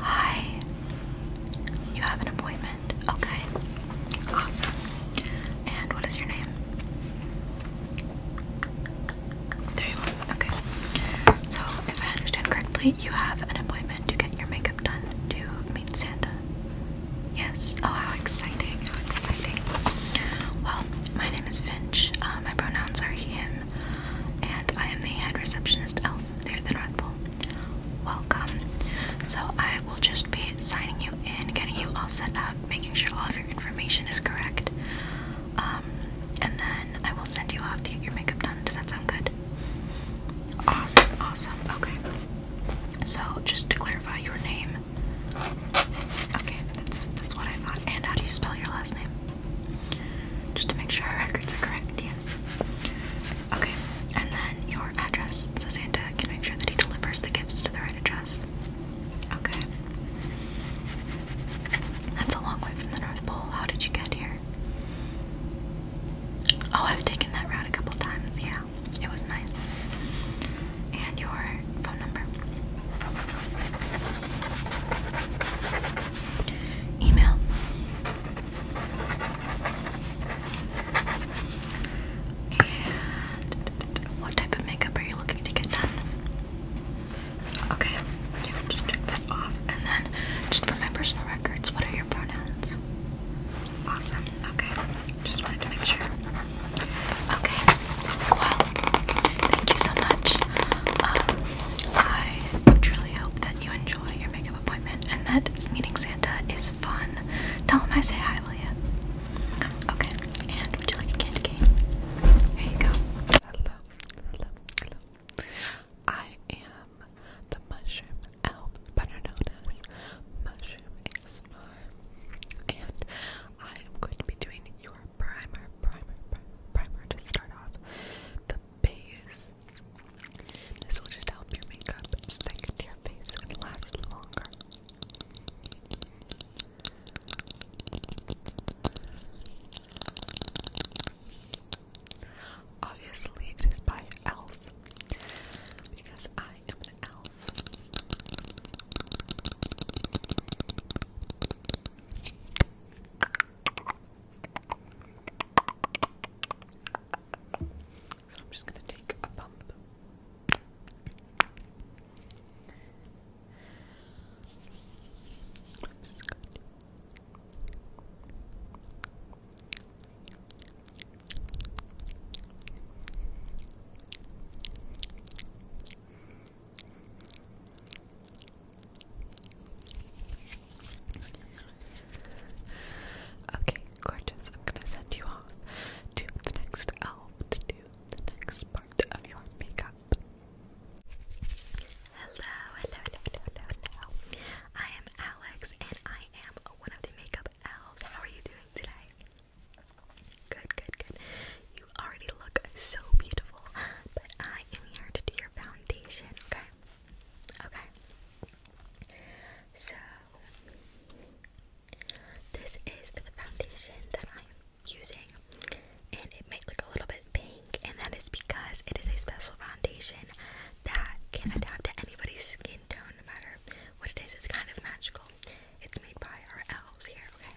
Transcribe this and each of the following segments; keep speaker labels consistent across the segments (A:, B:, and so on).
A: Hi. You have an appointment? Okay. Awesome. And what is your name? There Okay. So, if I understand correctly, you have an appointment to get your makeup done to meet Santa. Yes. Oh, how exciting! How exciting. Well, my name is Finch. Uh, my pronouns are he, him, and I am the head receptionist elf there at the North Pole. Welcome. So I will just be signing you in, getting you all set up, making sure all of your information is correct, um, and then I will send you off to get your makeup done. Does that sound good? Awesome, awesome. Okay. So just to clarify your name. Okay, that's that's what I thought. And how do you spell your last name? Just to make sure our records are correct, yes. Okay, and then your address so Santa can make sure that he delivers the gifts to the right address. Okay. That's a long way from the North Pole. How did you get here? Oh, I've taken that route a couple times. Yeah, it was nice. And your phone number email. And what type of makeup are you looking to get done? Okay, just check that off. And then, just for my personal records, what are your pronouns? Awesome, okay. Just wanted to make sure. Okay, well, thank you so much. Um, I truly hope that you enjoy your makeup appointment and that meeting Santa is fun. Tell him I say hi, will Okay, and would you like a candy cane? Here you go. I am the mushroom elf, better known as Mushroom ASMR. And I am going to be doing your primer, primer, primer to start off the base. This will just help your makeup stick to your face and last longer. Obviously, it is by Elf because I am an elf. So I'm just going to take a pump. Okay, gorgeous. I'm gonna send you off to the next elf to the next part of your makeup. hello, hello, hello, hello. I am Alex and I am one of the makeup elves. How are you doing today? Good, good, good you already look so beautiful, but I am here to do your foundation, okay? Okay. So, this is the foundation that I am using, and it might look a little bit pink, and that is because it is a special foundation that can adapt to anybody's skin tone, no matter what it is. It's kind of magical. It's made by our elves here, okay?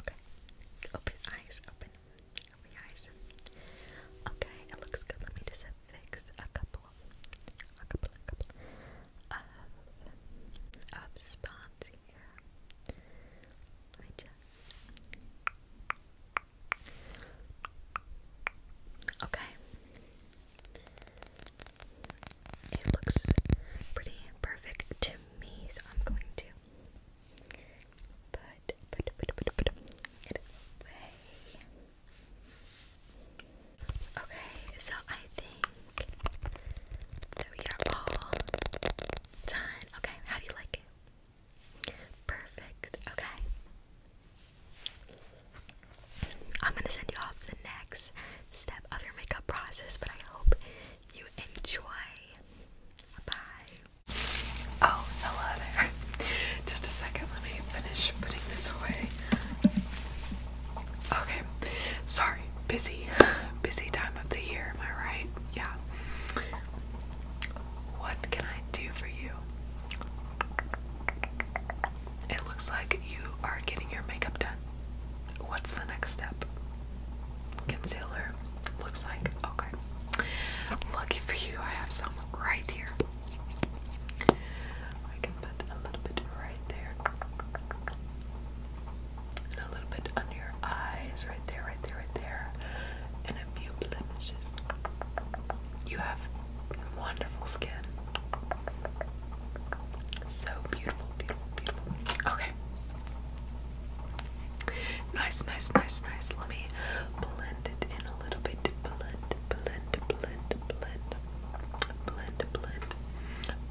A: Okay. Open eyes. Open. Open your eyes. Okay, it looks good. Let me just fix a couple, a couple, a couple of of spots here. Let me just. Okay. It looks pretty perfect to me, so I'm going to put put put put put it away. Okay, so I think that we are all done. Okay, how do you like it? Perfect. Okay. I'm gonna send you off to the next step of your makeup process, but I hope you enjoy.
B: Bye. Oh, hello there. Just a second, let me finish putting this away. Okay, sorry, busy, busy time of the year, am I right? Yeah. What can I do for you? It looks like you are getting your makeup done. What's the next step? Concealer. Looks like. Okay. Lucky for you, I have some right here. I can put a little bit right there. And a little bit under your eyes. Right there, right there, right there. And a few blemishes. You have Wonderful skin. So beautiful, beautiful, beautiful. Okay. Nice, nice, nice, nice. Let me blend it in a little bit. Blend, blend, blend, blend. Blend, blend. Blend,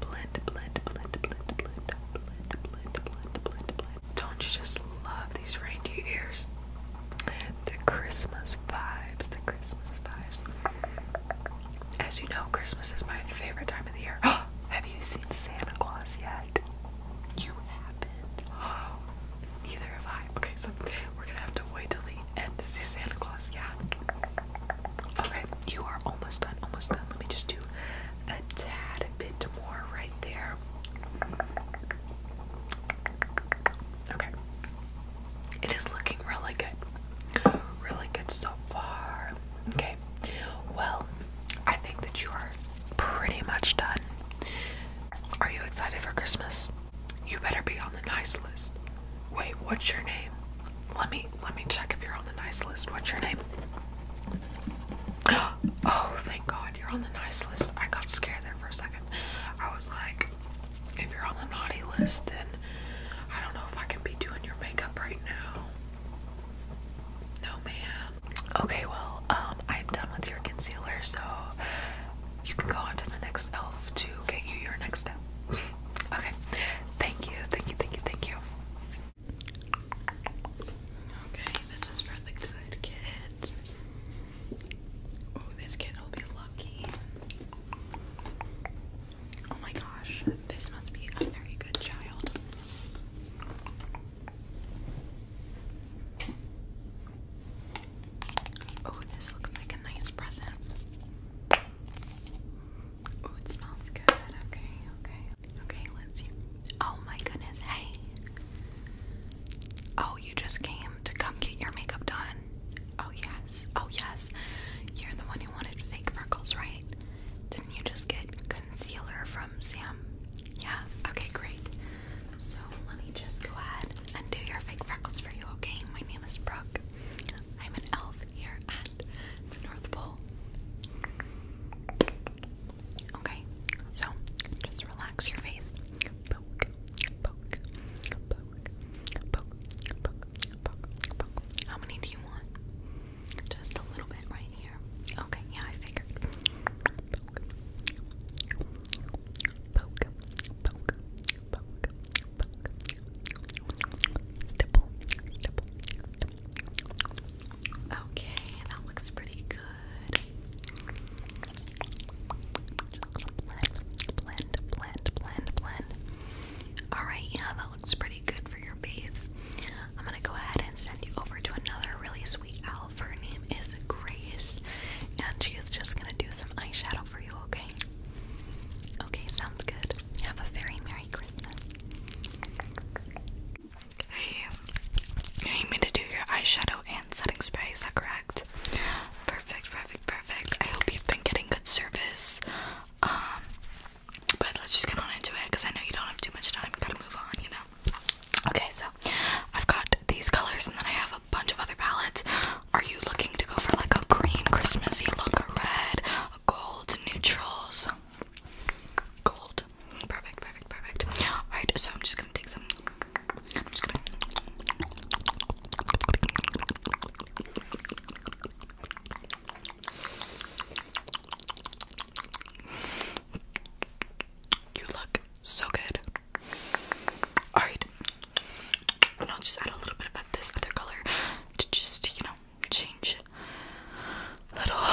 B: blend, blend, blend, blend, blend, blend, blend, blend, blend. Don't you just love these reindeer ears? The Christmas vibes, the Christmas vibes. As you know, Christmas is my favorite time of the year. Have you seen Santa Claus yet? You haven't. Neither have I. Okay, so we're gonna have to wait till the end to see Santa Claus. Yeah. Okay, you are almost done. Almost done. Let me just do a tad bit more right there. Okay. It is looking really good. Really good so far. Okay. Well, I think that you are pretty much done. Are you excited for Christmas? You better be on the nice list. Wait, what's your name? Let me let me check if you're on the nice list. What's your name? Oh, thank God you're on the nice list. I got scared there for a second. I was like, if you're on the naughty list, then I don't know if I can be doing your makeup right now. No, ma'am. Okay, well, um, I'm done with your concealer, so you can go on to the next elf to get you your next step. okay, thank you, thank you, thank you, thank you. Okay, this is for the good kids. Oh, this kid will be lucky. Oh my gosh, this must be a very good child.
A: Oh, this looks like a nice present. Oh, it smells good. Okay, okay. Okay, let's see. Oh my goodness. Hey. Oh, you just came to come get your makeup done. Oh, yes. Oh, yes. You're the one who wanted fake freckles, right? Didn't you just get concealer from Sam? Yeah? Okay, great. So, let me just go ahead and do your fake freckles for you, okay? My name is Brooke. I'm an elf here at the North Pole. Okay, so just relax your face poke, poke, poke, How many do you want? Just a little bit right here. Okay, yeah, I figured. Okay, that looks pretty good blend, blend, blend, blend, blend. Alright, yeah, that looks pretty good for your base. I'm gonna go ahead and send you over to another really sweet elf. Her name is Grace, and she is just gonna do some eyeshadow for you, okay? Okay, sounds good. Have a very Merry Christmas. Hey, you need me to do your eyeshadow setting spray. Is that correct? Perfect, perfect, perfect. I hope you've been getting good service. Um, but let's just get on into it because I know you don't have too much time. Gotta move on, you know. Okay, so I've got these colors, and then I have a bunch of other palettes. Are you looking to go for like a green Christmassy look, a red, a gold, neutrals? Gold. Perfect, perfect, perfect. Alright, so I'm just gonna take some you look so good. Alright. And I'll just add a little bit of this other color to just, you know, change a little.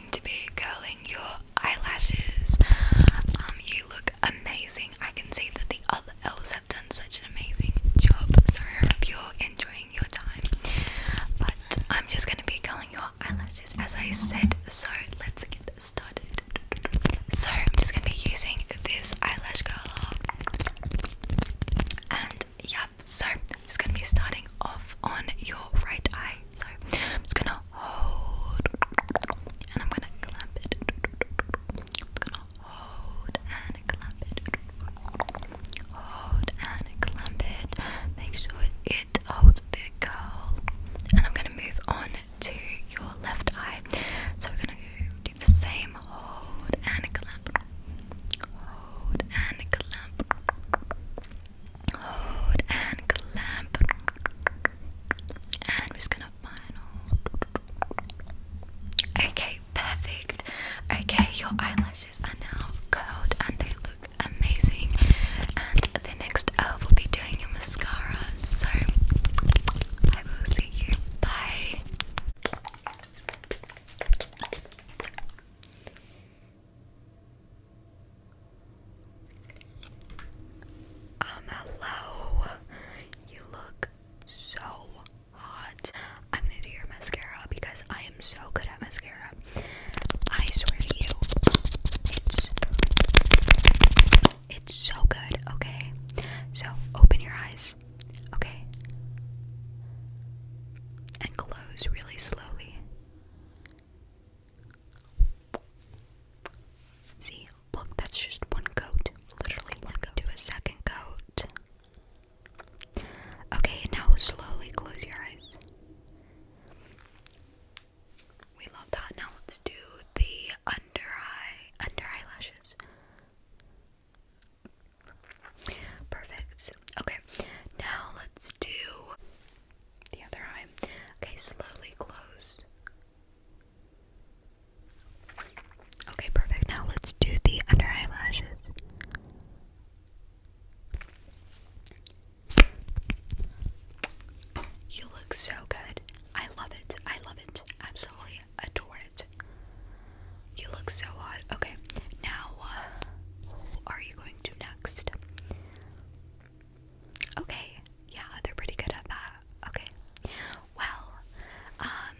A: to be curling your eyelashes. Um, you look amazing. I can see that the other elves have done such an amazing job. So I hope you're enjoying your time. But I'm just going to be curling your eyelashes as I said. So let's get started. So I'm just going to be using this eyelash curler. And yep, so I'm just going to be starting off on your right eye. So I'm just gonna hold and I'm gonna clamp it. Just gonna hold and clamp it. Hold and clamp it. Make sure it holds the curl. And I'm gonna move on to your left eye. So we're gonna do the same hold and clamp. Hold and clamp. Hold and clamp. And we're just gonna final. Okay, perfect. Okay, your eyelashes are now curled and they look amazing. And the next uh, will be doing your mascara. So I will see you. Bye. Um, hello. You look so hot. I'm gonna do your mascara because I am so good at mascara. I swear to you, it's it's so good, okay? So open your eyes, okay? And close really slowly. See, look, that's just one coat. Literally one coat. Do a second coat. Okay, now slowly close your eyes. We love that. Now let's do the under eye, under eyelashes. Perfect. Okay, now let's do the other eye. Okay, slowly close. Okay, perfect. Now let's do the under eyelashes. You look so good. I love it. I love it. Absolutely adore it. You look so hot. Okay, now uh, are you going to next? Okay, yeah, they're pretty good at that. Okay, well, um,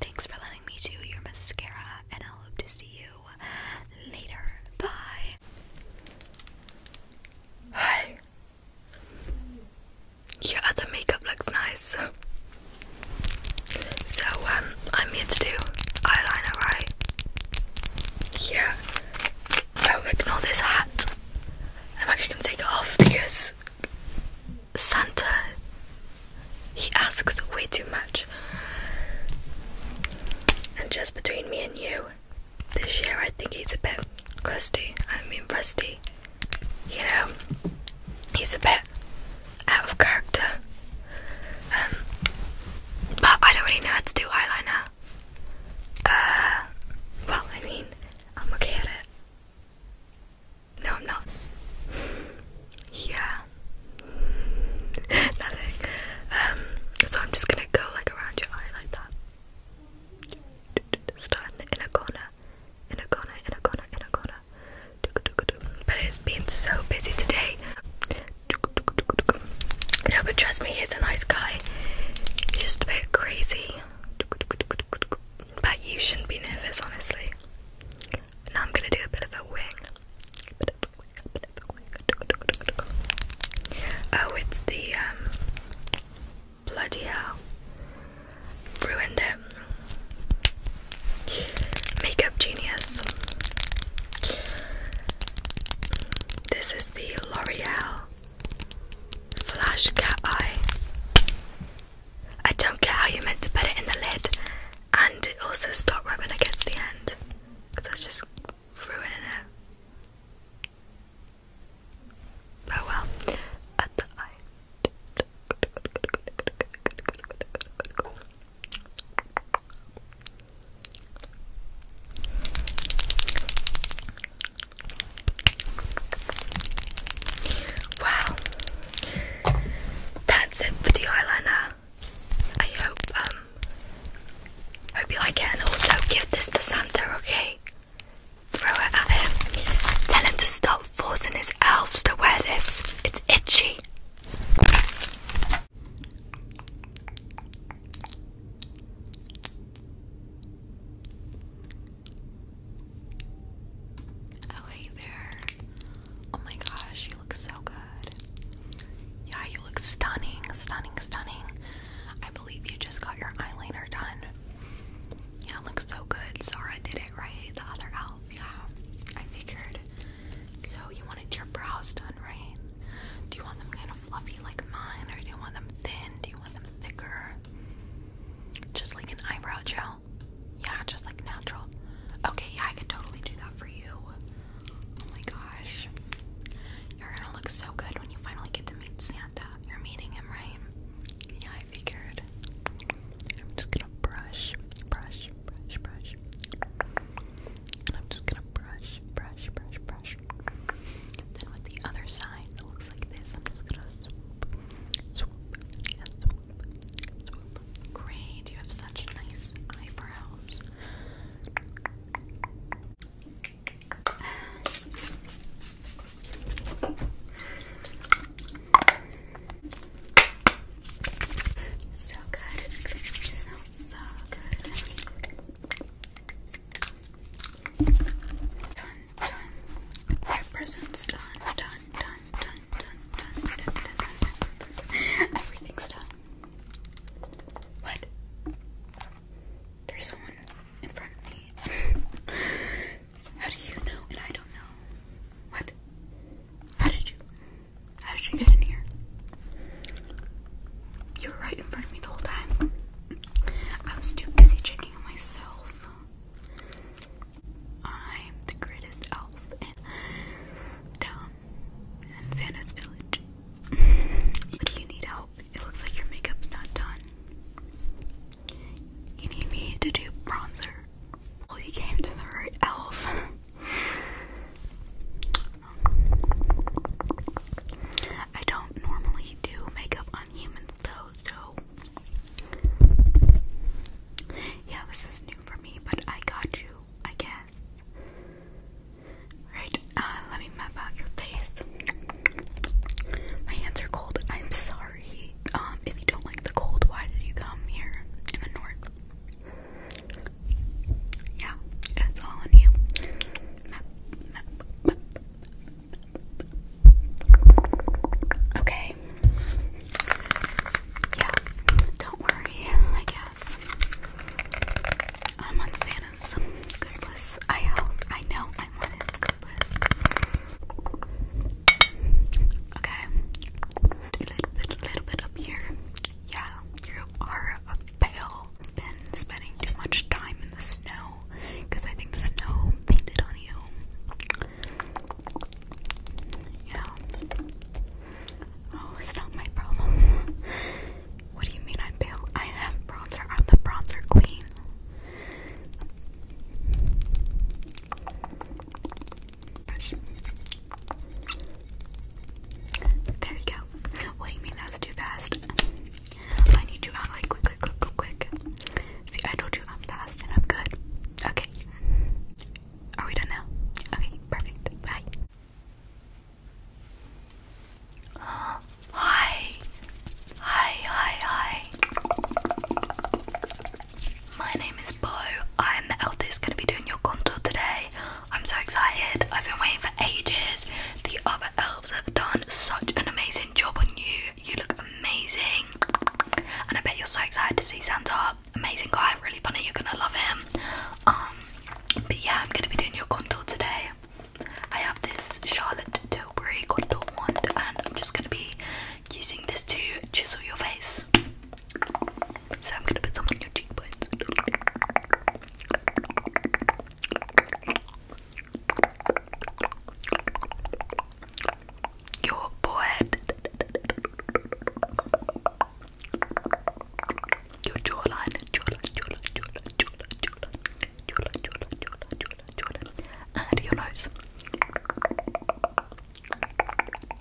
A: thanks for letting me do your mascara, and I hope to see you later. Bye. Hi. Your other makeup looks nice. So, um, I'm here to do eyeliner, right? Yeah. Oh, ignore this hat. I'm actually gonna take it off because Santa he asks way too much. And just between me and you, this year I think he's a bit crusty. I mean rusty. You know, he's a bit out of character. Um, but I don't really know how to do eyeliner. Uh, well, I mean, I'm okay at it. No, I'm not. yeah. Nothing. Um, so I'm just gonna go like around your eye like that. Start in the inner corner, inner corner, inner corner, inner corner. But it's been so busy today. No, but trust me, he's a nice guy. He's just a bit crazy. But you shouldn't be nervous, honestly. Now I'm gonna do a bit of a wing. Oh, it's the um, bloody hell. Ruined him. Makeup genius. This is the L'Oreal Flash Cat Eye. I don't care how you meant to put it in the lid and it also stop rubbing against the end. Because that's just ruining it. Oh well. At the eye. Wow, that's it for the eyeliner. I hope um hope you like it, and also give this to Santa, okay? Throw it at him. Tell him to stop forcing his elves to wear this. It's itchy. Oh, hey there. Oh my gosh, you look so good. Yeah, you look stunning, stunning, stunning. I believe you just got your eyeliner done. Yeah, it looks so good. Zara did it right, the other elf. Yeah, I figured. So you wanted your brows done, right? Do you want them kind of fluffy like mine,
B: or do you want them thin? Do you want them thicker? Just like an eyebrow gel? Yeah, just like natural. Okay, yeah, I
A: could totally do that for you. Oh my gosh. You're gonna look so good when you finally get to meet Santa. You're meeting him, right? Yeah, I figured. I'm just gonna brush, brush, brush, brush. And I'm just gonna brush, brush, brush, brush. Then with the other side that looks like this, I'm just gonna swoop, swoop, swoop, swoop. Great, you have such nice eyebrows. So good so good. Done, done. Our present's done, done, done, done, done, done, done, done, done, done. Everything's done. What? There's someone in front of me. How do you know
C: and I don't know? What? How did you? How did you get in here?
A: You were right in front of me the whole time. I was too busy checking on myself. I'm the greatest elf in town in Santa's village. but you need help. It looks like your makeup's not done. You need me to do bronzer. Well, you came to the right elf. I don't normally do makeup on humans though, so yeah, this is new for me, but I got you, I guess. Right, uh, let me map out your face. My hands are cold. I'm sorry. Um, if you don't like the cold, why did you come here in the north? Yeah, it's all on you. Okay. Yeah, don't worry, I guess. I'm on Santa's good list. I hope, I know I'm on his good list. Okay. A little bit, a little bit up here. Yeah, you are a fail. Been spending too much time in the snow because I think the snow painted on you. Yeah. Oh, it's not my problem. What do you mean I'm pale? I have bronzer. I'm the bronzer queen. There you go. What do you mean that's too fast? I need you out like quick, quick, quick, quick, quick. See, I told you I'm fast and I'm good. Okay. Are we done now? Okay, perfect. Bye. Hi. Hi, hi, hi. My name is Bo. I am the elf that's going to be doing your contour today. I'm so excited. I've been waiting for ages. The other elves have done such an amazing job on you. You look amazing. And I bet you're so excited to see Santa. Amazing guy, really funny. You're going to love him. Um, but yeah, I'm going to be doing your contour today. I have this Charlotte Tilbury contour wand and I'm just going to be using this to chisel your face. So I'm gonna put some on your cheekbones. Your forehead. Your jawline. Jawline, jawline, jawline, jawline, jawline. Jawline, jawline, jawline, And your nose.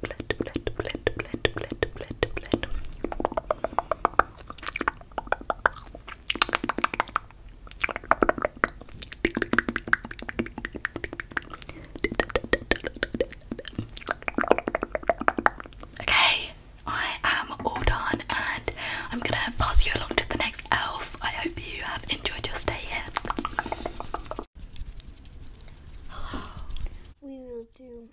A: blend, blend, blend, blend, blend, blend, blend. Okay, I am all done and I'm gonna pass you along to the next elf. I hope you have enjoyed your stay here. Hello, we will do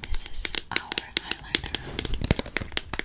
A: This is our highlighter.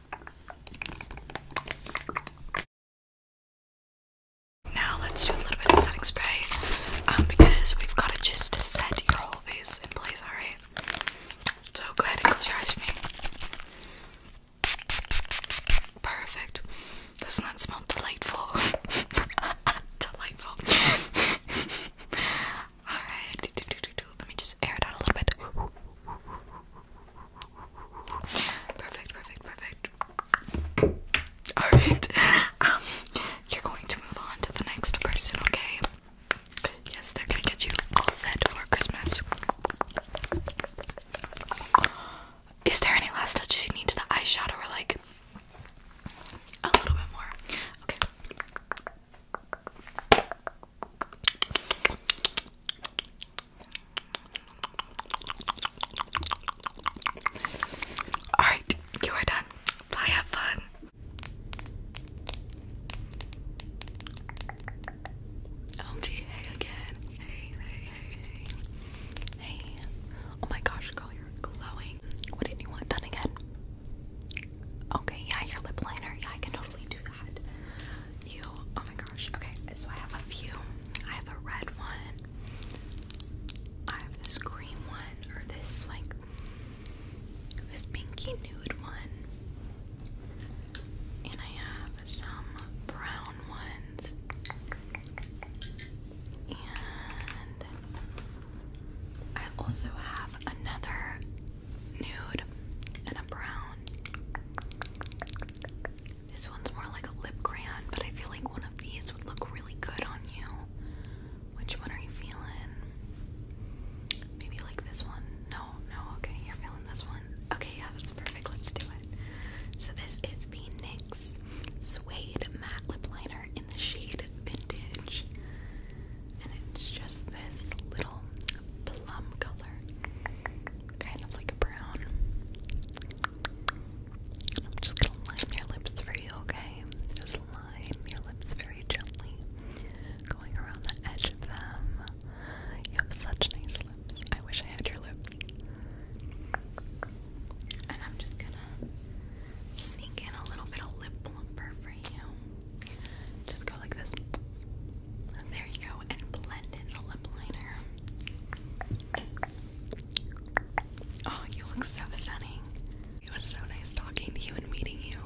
A: Now let's do a little bit of setting spray um, because we've got it just set your whole face in place, alright? So go ahead and close me. Perfect. Doesn't that smell delightful? delightful. Alright, let me just air it out a little bit. Perfect, perfect, perfect. Alright. Um, you're going to move on to the next person, okay? Yes, they're gonna get you all set for Christmas. Is there any last touches you need to the eyeshadow or like a little bit more? Okay. Alright, you are done. I have fun. OMG, hey again. Hey, hey, hey, hey. Oh my gosh, girl, you're glowing. What did you want done again? Okay, yeah, your lip liner. Yeah, I can totally do you, oh my gosh. Okay, so I have a few. I have a red one. I have this green one, or this like this pinky nude one,
B: and I have some brown ones,
A: and I also have another nude, and a brown. This one's more like a lip crayon, but I feel like one of these would look really good on you. Which one are you feeling? Maybe like this one? No, no, okay, you're feeling this one. Okay, yeah, that's perfect. Let's do it. So, this is the NYX Suede Matte Lip Liner in the shade Vintage. And it's just this little plum color, kind of like a brown. I'm just gonna line your lips for you, okay? Just line your lips very gently, going around the edge of them. You have such nice lips. I wish I had your lips. And I'm just gonna sneak in a little bit of lip plumper for you. Just go like this. There you go, and blend in the lip liner. Oh, you look so stunning. It was so nice talking to you and meeting you.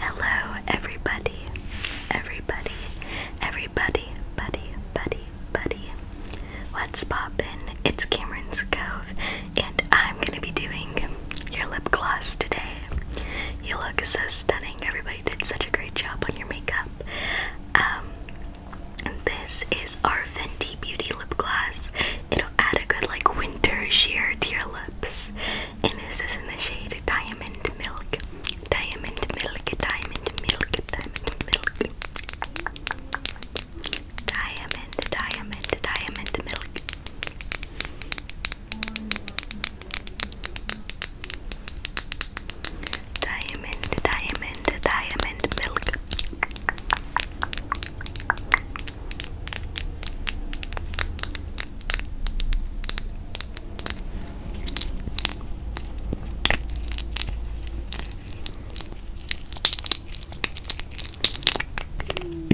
A: Hello, everybody, everybody, everybody, buddy, buddy, buddy. What's poppin'? It's Cameron's Cove, and I'm gonna be doing your lip gloss today. You look so stunning. Everybody did such a great job on your makeup. Um, this is our Fenty Beauty lip gloss. It'll add a good like winter sheer to your lips,
C: and this is in the shade Diamond Milk. Diamond Milk. Diamond Milk. Diamond Milk. Diamond. Diamond. Diamond Milk. Diamond, diamond, diamond milk.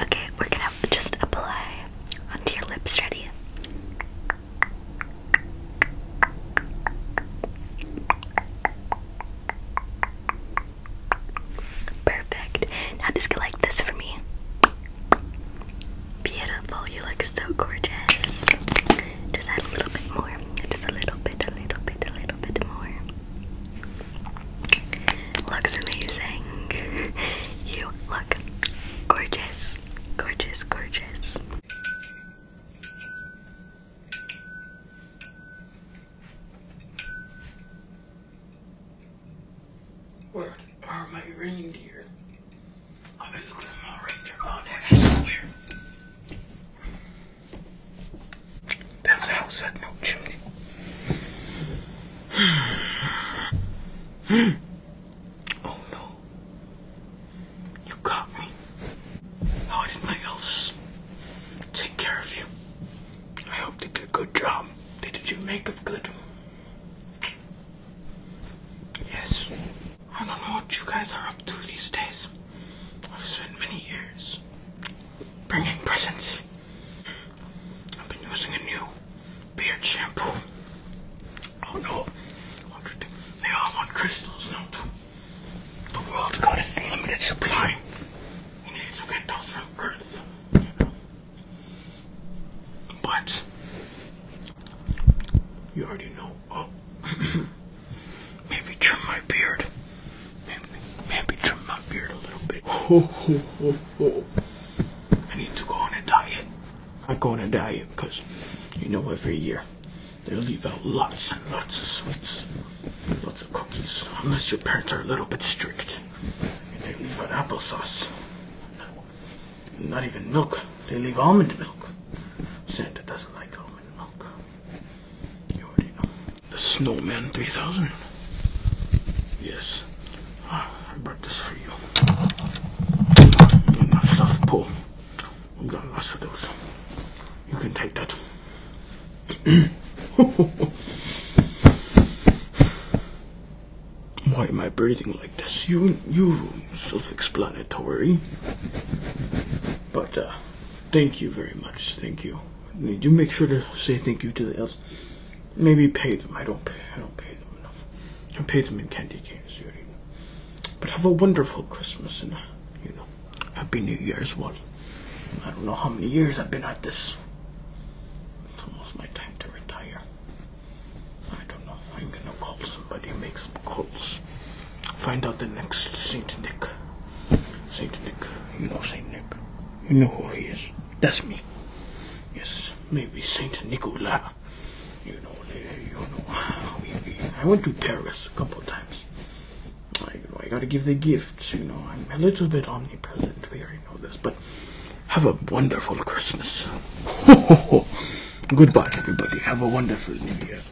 A: Okay, we're gonna just apply onto your lips. Ready? Perfect. Now just get like this for me. Beautiful. You look so gorgeous. Just add a little bit more. Just a little bit, a little bit, a little bit more. Looks amazing. you look gorgeous, gorgeous, gorgeous.
C: Where are my reindeer? I've been looking for my reindeer all night. That's a house had no chimney. oh no. You got me. How did my elves take care of you? I hope they did a good job. They did your makeup good. Yes. I don't know what you guys are up to these days. I've spent many years bringing presents. I've been using a new beard shampoo. Oh no, they all want crystals now too. The world's got a limited supply. You need to get those from Earth. But, you already know. Oh. Maybe trim my beard. Maybe, maybe trim my beard a little bit. Oh, oh, oh, oh. I need to go on a diet. I go on a diet because, you know, every year they leave out lots and lots of sweets, lots of cookies, unless your parents are a little bit strict. they leave out applesauce. Not even milk. They leave almond milk. Santa doesn't like almond milk. The Snowman 3000. Yes. Ah, I brought this for you. And a soft pull. got lots of those. You can take that. Why am I breathing like this? You, you self-explanatory. But uh, thank you very much. Thank you. You do make sure to say thank you to the elves. Maybe pay them. I don't pay. I don't pay them enough. I pay them in candy canes, you already know. But have a wonderful Christmas and you know, Happy New Year's, Walt. I don't know how many years I've been at this. It's almost my time to retire. I don't know. I'm gonna call somebody, make some calls, find out the next Saint Nick. Saint Nick. You know Saint Nick. You know who he is. That's me. Yes, maybe Saint Nicolas. You know, you know. I went to Paris a couple of times. I, you know, I gotta give the gifts. You know, I'm a little bit omnipresent. We already know this, but have a wonderful Christmas. Goodbye, everybody. Have a wonderful New Year.